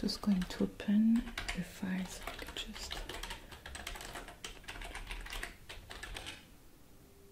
Just going to open the files. just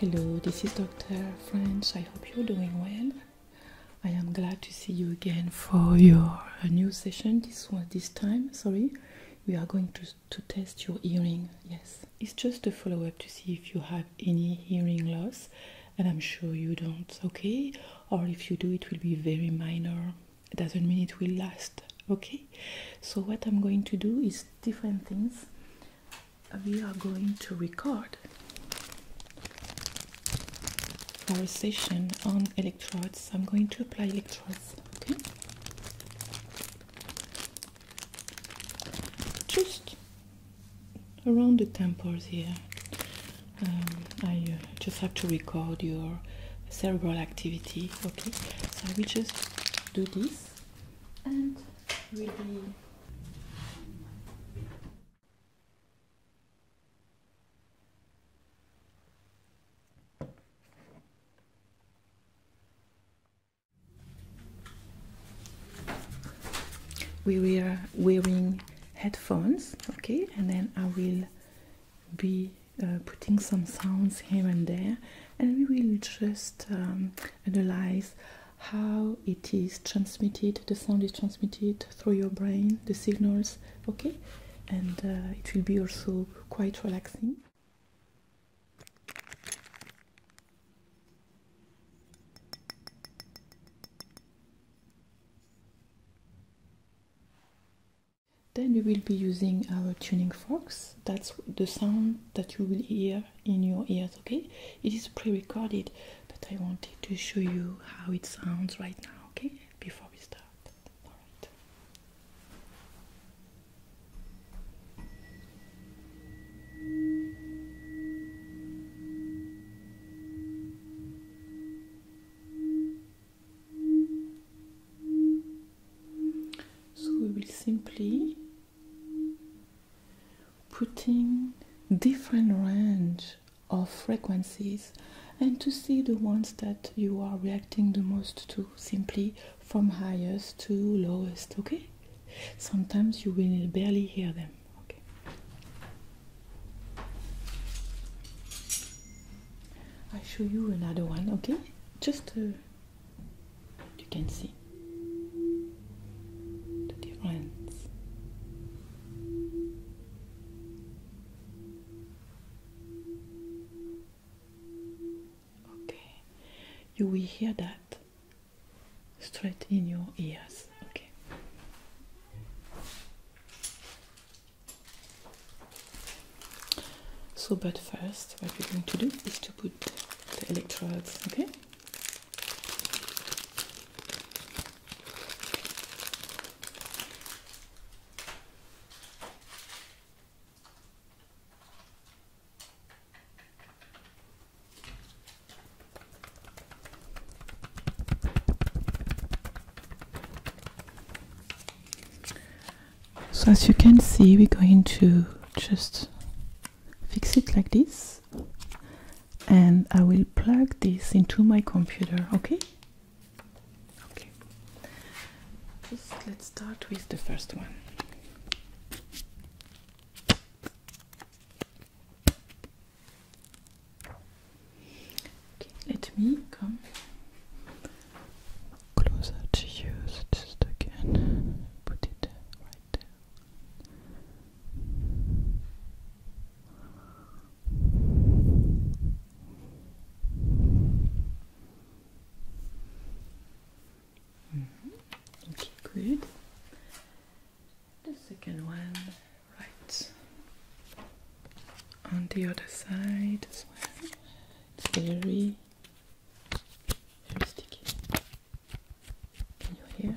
Hello, this is Dr. French. I hope you're doing well. I am glad to see you again for your uh, new session. This one, this time, sorry, we are going to to test your hearing. Yes, it's just a follow up to see if you have any hearing loss, and I'm sure you don't. Okay, or if you do, it will be very minor. It doesn't mean it will last. Okay, so what I'm going to do is different things. We are going to record for a session on electrodes. I'm going to apply electrodes. Okay. Just around the temples here. Um, I uh, just have to record your cerebral activity. Okay. So I will just do this, and will be we were wearing headphones okay and then i will be uh, putting some sounds here and there and we will just um, analyze how it is transmitted the sound is transmitted through your brain the signals okay and uh, it will be also quite relaxing then we will be using our tuning forks that's the sound that you will hear in your ears okay it is pre-recorded but i wanted to show you how it sounds right now okay before we start so we will simply putting different range of frequencies and to see the ones that you are reacting the most to simply from highest to lowest okay sometimes you will barely hear them okay i show you another one okay just uh, you can see the difference Okay, you will hear that straight in your ears. Okay. So, but first, what we're going to do is to put the electrodes, okay? So as you can see, we're going to just fix it like this and I will plug this into my computer, okay? Okay, let's start with the first one. let me come closer to you just again. Put it right there. Mm-hmm. Okay, good. The second one, right on the other side as well. It's very, very sticky. Can you hear?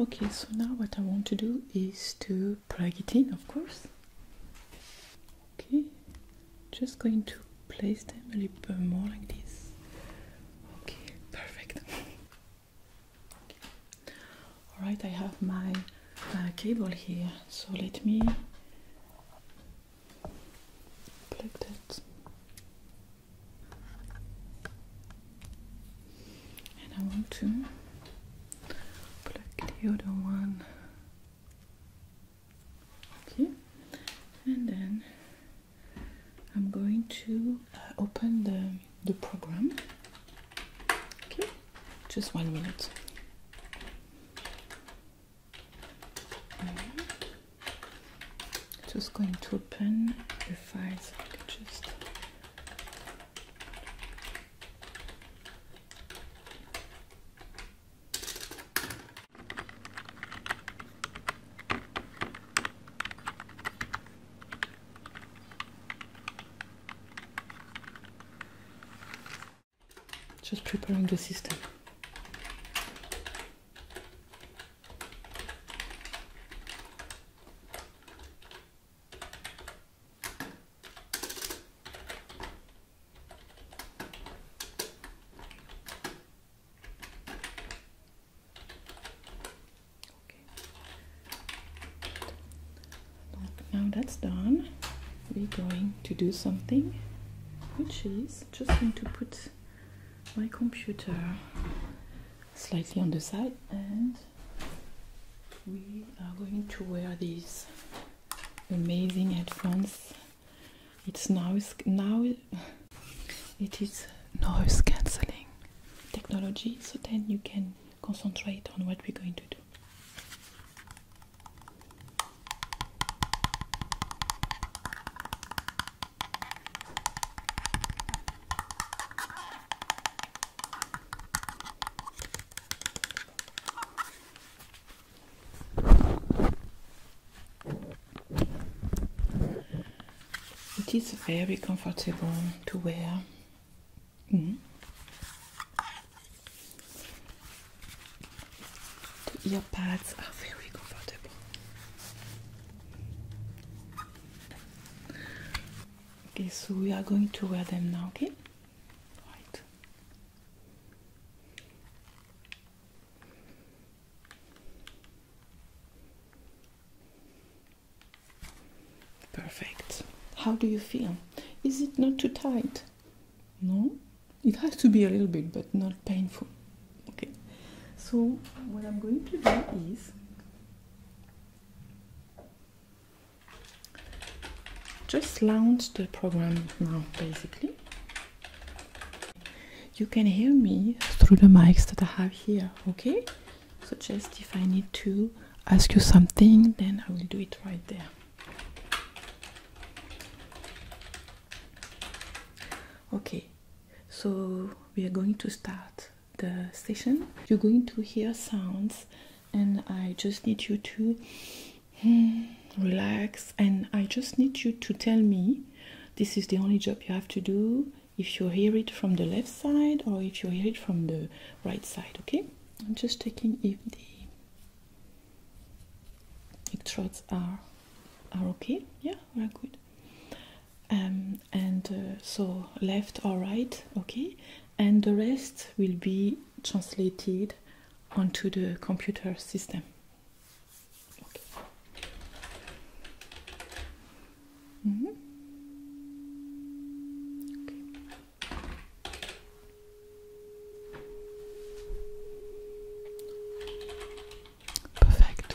Okay, so now what I want to do is to plug it in, of course. Okay, just going to place them a little bit more like this. Okay, perfect. All right, I have my cable here, so let me plug that and I want to plug the other one. Okay, and then I'm going to uh, open the, the program. Okay, just one minute. just going to open the files. I just just preparing the system. Now that's done, we're going to do something, which is just going to put my computer slightly on the side and we are going to wear these amazing headphones it's noise now it is noise cancelling technology so then you can concentrate on what we're going to do it is very comfortable to wear. Mm-hmm. The ear pads are very comfortable. Okay, so we are going to wear them now, okay? Perfect. How do you feel? Is it not too tight? No? It has to be a little bit, but not painful. Okay. So, what I'm going to do is just launch the program now basically you can hear me through the mics that I have here okay so just if I need to ask you something then I will do it right there okay so we are going to start the station you're going to hear sounds and i just need you to hmm, relax and i just need you to tell me this is the only job you have to do if you hear it from the left side or if you hear it from the right side okay i'm just checking if the electrodes are are okay yeah we're good um, and uh, so left or right, okay, and the rest will be translated onto the computer system. Mm-hmm. Perfect.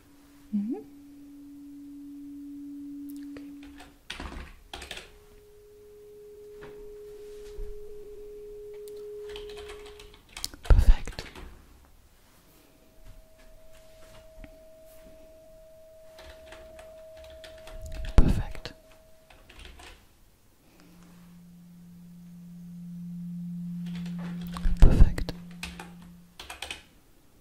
Mm -hmm. Perfect. Perfect. Perfect.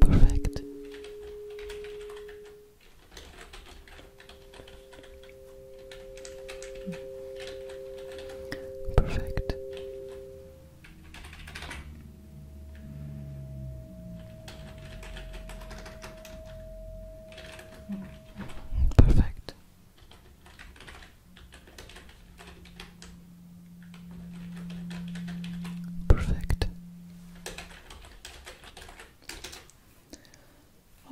Perfect. Perfect. Mm. Perfect. Perfect.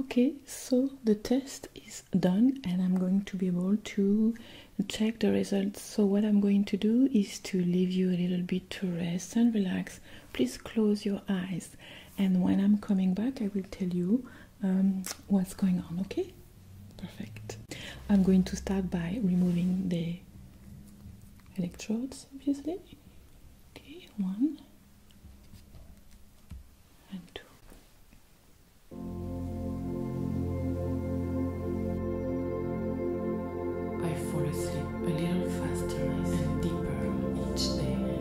Okay, so the test is done and I'm going to be able to check the results. So what I'm going to do is to leave you a little bit to rest and relax. Please close your eyes and when I'm coming back, I will tell you um, what's going on. Okay, perfect. I'm going to start by removing the electrodes, obviously. Okay, one and two. I fall asleep a little faster and deeper each day.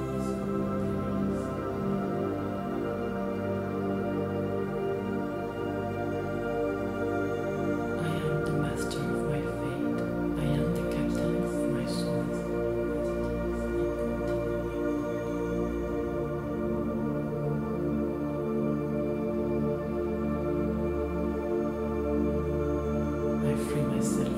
I am am the the master of of my my fate. I I captain soul. free myself.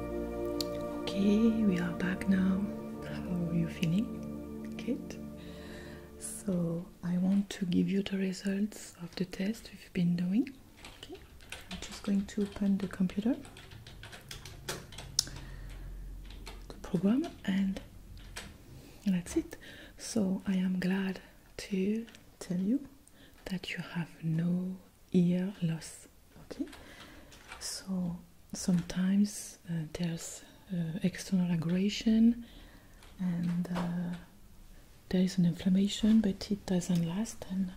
Okay, we are back now. How are you feeling, Kate? So, I want to give you the results of the test we've been doing. Okay, I'm just going to open the computer, the program, and that's it. So, I am glad to tell you that you have no ear loss. Okay, so sometimes uh, there's uh, external aggression and uh, there is an inflammation, but it doesn't last and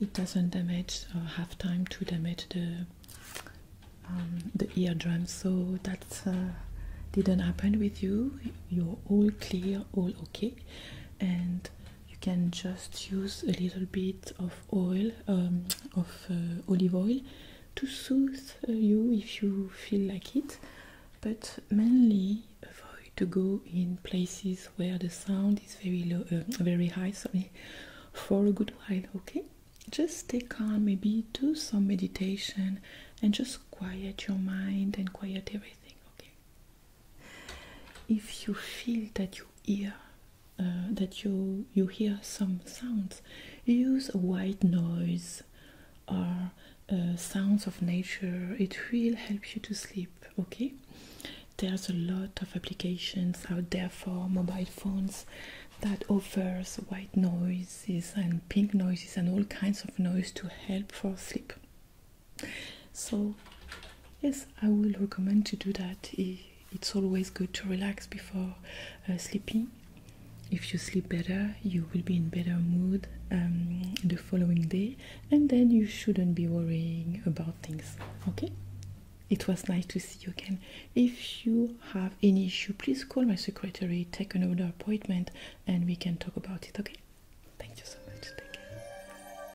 it doesn't damage or have time to damage the um, the eardrum. So that didn't happen with you. You're all clear, all okay, and you can just use a little bit of oil, um, of uh, olive oil, to soothe uh, you if you feel like it. But mainly avoid to go in places where the sound is very low, uh, very high. Sorry, for a good while. Okay, just stay calm. Maybe do some meditation and just quiet your mind and quiet everything. Okay if you feel that you hear uh, that you you hear some sounds use a white noise or uh, sounds of nature it will help you to sleep okay there's a lot of applications out there for mobile phones that offers white noises and pink noises and all kinds of noise to help for sleep so yes i will recommend to do that it's always good to relax before uh, sleeping if you sleep better you will be in better mood um, the following day and then you shouldn't be worrying about things okay it was nice to see you again if you have any issue please call my secretary take another appointment and we can talk about it okay thank you so much take care